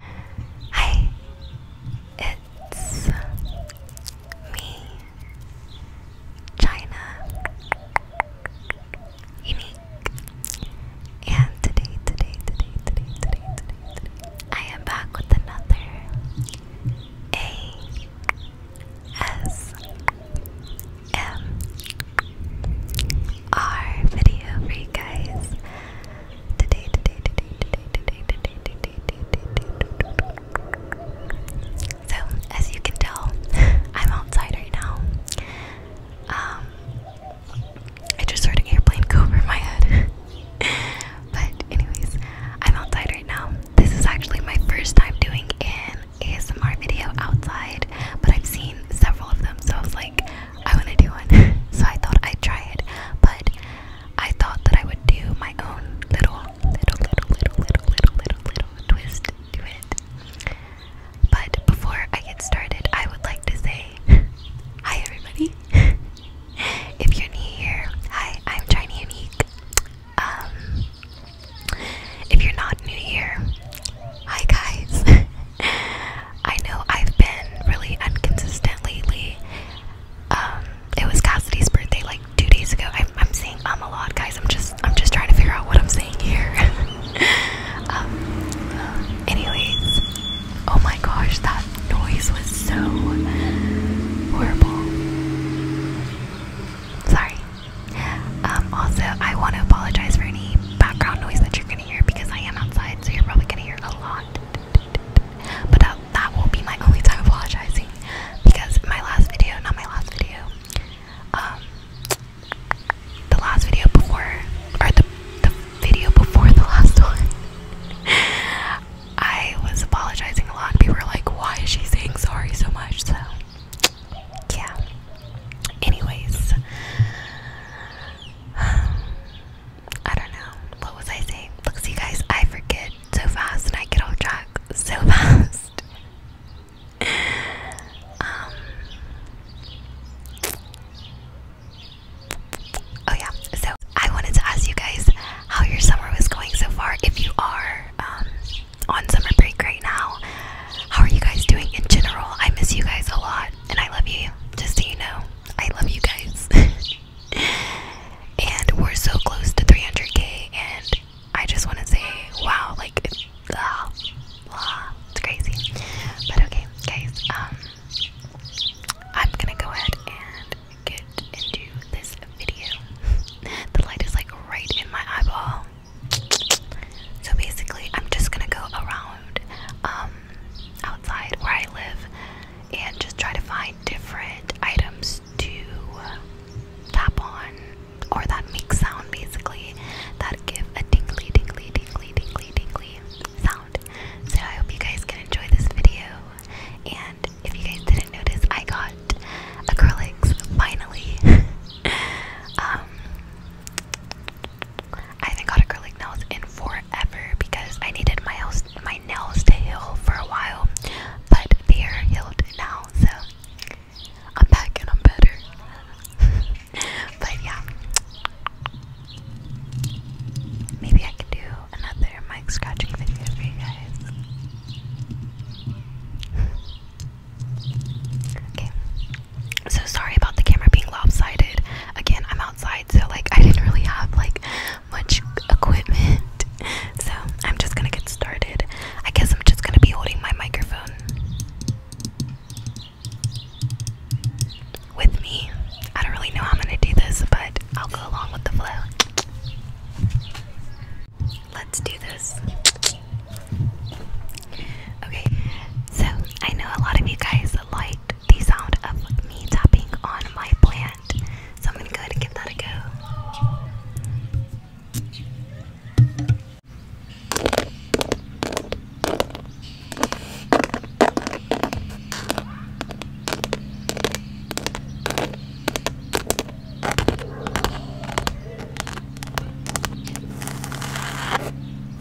Hi, it's me, China Unique. And today, today, today, today, today, today, today, I am back with another ASMR video for you guys. So, as you can tell, I'm outside right now. Um, I just heard an airplane go over my head. but, anyways, I'm outside right now. This is actually my first time doing an ASMR video outside, but I've seen several of them, so I was like, I want to do one. so I thought I'd try it, but I thought that I would do my own little, little, little, little, little, little, little, twist to it. But before I get started, I would like to say hi, everybody. if you're new here, hi, I'm Tiny Unique. Um, if you're not new here, hi guys. I know I've been really inconsistent lately. Um, it was Cassidy's birthday like two days ago. I'm, I'm saying um a lot, guys. I'm just I'm just trying to figure out what I'm saying here. Um, anyways, oh my gosh, that noise was so horrible. Sorry. Um, also, I want to apologize for any background noise that you're gonna hear because I am outside, so you're probably gonna hear a lot. But that, uh, that will be my only time apologizing because my last video, not my last video, um, the last video before, or the, the video before the last one, I was apologizing a lot. People were like, why is she saying sorry so much? So, yeah. Anyways. I don't know. What was I saying? Look, see, guys, I forget so fast and I get off track so fast. um. Oh, yeah. So, I wanted to ask you guys how your summer was going so far. If you are um, on summer break right now, how are you guys doing in general? I miss you guys a lot and I love you, just so you know. I love you guys. and we're so close to 300k, and I just want to say, wow, like, it's, uh, it's crazy. But okay, guys, um, I'm gonna go ahead and get into this video. the light is like right in my eyeball. So basically, I'm just gonna go around um, outside where I live and just try to find different items to tap on or that make sound basically that give a tingly, tingly, tingly, tingly, tingly sound. So I hope you guys can enjoy this video. And if you guys didn't notice, I got acrylics finally. um, I haven't got acrylic nails in forever because I needed my nails, to heal for a while, but they are healed now, so I'm back and I'm better. but yeah, maybe I can do another mic scratching video for you guys. okay, so sorry about the camera being lopsided. Again, I'm outside, so like I didn't really have like much equipment. So I'm just gonna get started. I guess I'm just gonna be holding my microphone with me. I don't really know how I'm gonna do this, but I'll go along with the flow. Let's do this. Okay, so, I know a lot of you guys like the sound of me tapping on my plant, so I'm gonna go ahead and give that a go.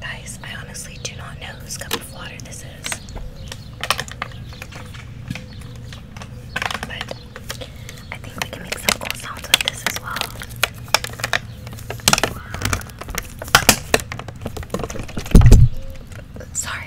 Guys, I honestly do not know whose cup of water this is. But I think we can make some cool sounds with this as well. Sorry.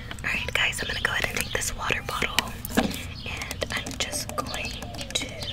Alright, guys, I'm gonna go ahead and take this water bottle and I'm just going to open it.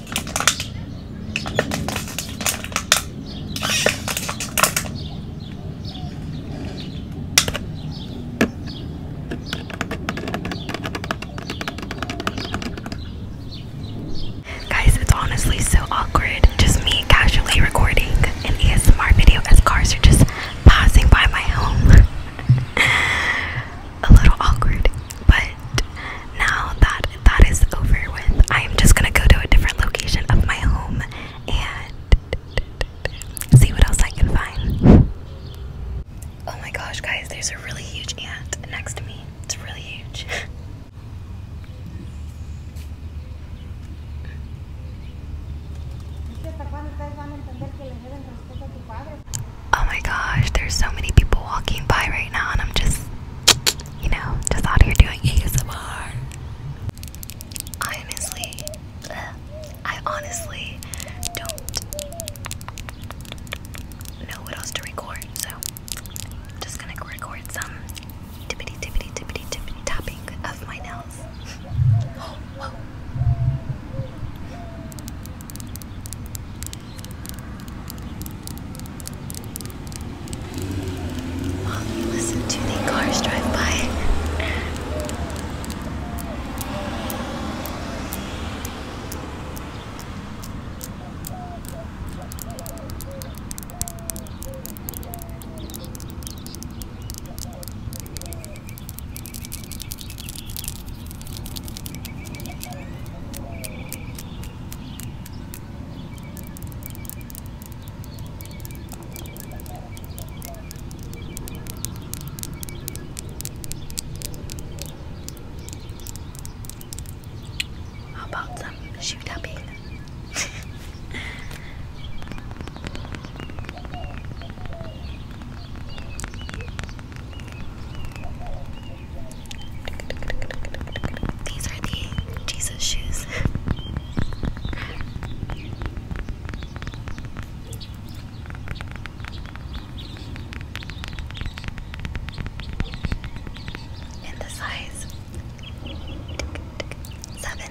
Guys, it's honestly so awkward just me casually recording an ASMR video as cars are just passing by my home. a little awkward, but now that that is over with, I am just gonna go to a different location of my home and see what else I can find. Oh my gosh, guys, there's a really huge ant next to me. It's really huge. Oh my gosh, there's so many people walking by right now, and I'm just, you know, just out here doing ASMR. I honestly, I honestly don't know what else to record, so I'm just gonna record some tippity tippity tippity tippity tapping of my nails. While you listen to the cars drive by. How about some shoot upping? These are the Jesus shoes. In the size seven.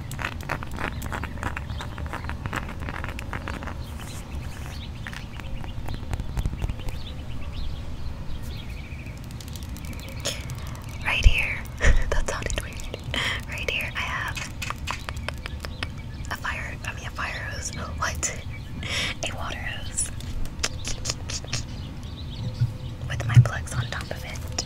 Right here, that sounded weird. Right here, I have a fire, I mean, a fire hose. What? A water hose. With my plugs on top of it.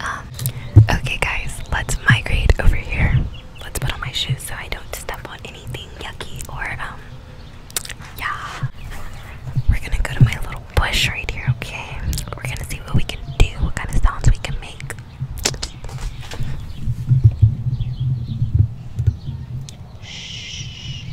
Um, okay, guys, let's migrate over here. Let's put on my shoes so I don't step on anything yucky or, um, yeah. We're gonna go to my little bush right here, okay? We're gonna see what we can do, what kind of sounds we can make. Shh.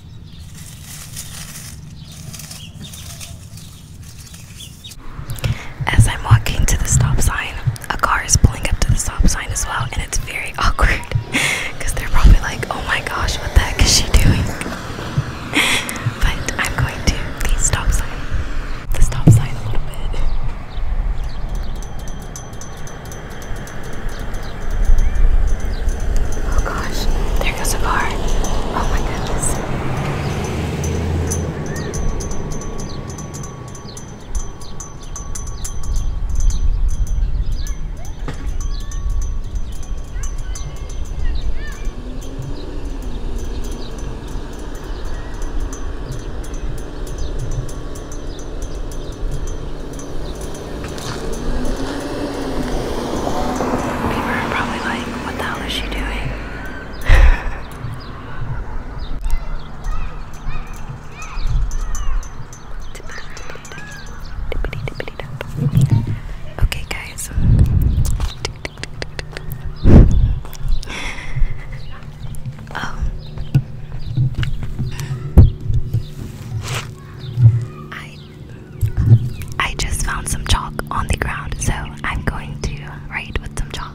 As I'm walking to the stop sign, a car is pulling up to the stop sign as well, and it's very awkward because they're probably like, oh my gosh, what the heck is she doing? but I'm going to the stop sign, the stop sign a little bit. Oh, gosh, there goes a car. Oh my goodness. People are probably like, what the hell is she doing? okay, guys. oh. I I just found some chalk on the ground, so I'm going to write with some chalk.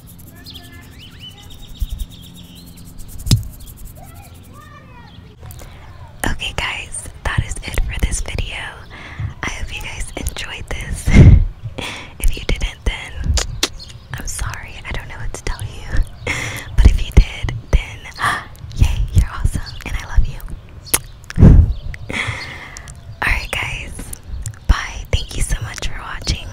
Okay, guys, that is it for this video. I hope you guys enjoyed this. if you didn't, then I'm sorry, I don't know what to tell you. but if you did, then yay, you're awesome, and I love you. Alright, guys, bye. Thank you so much for watching.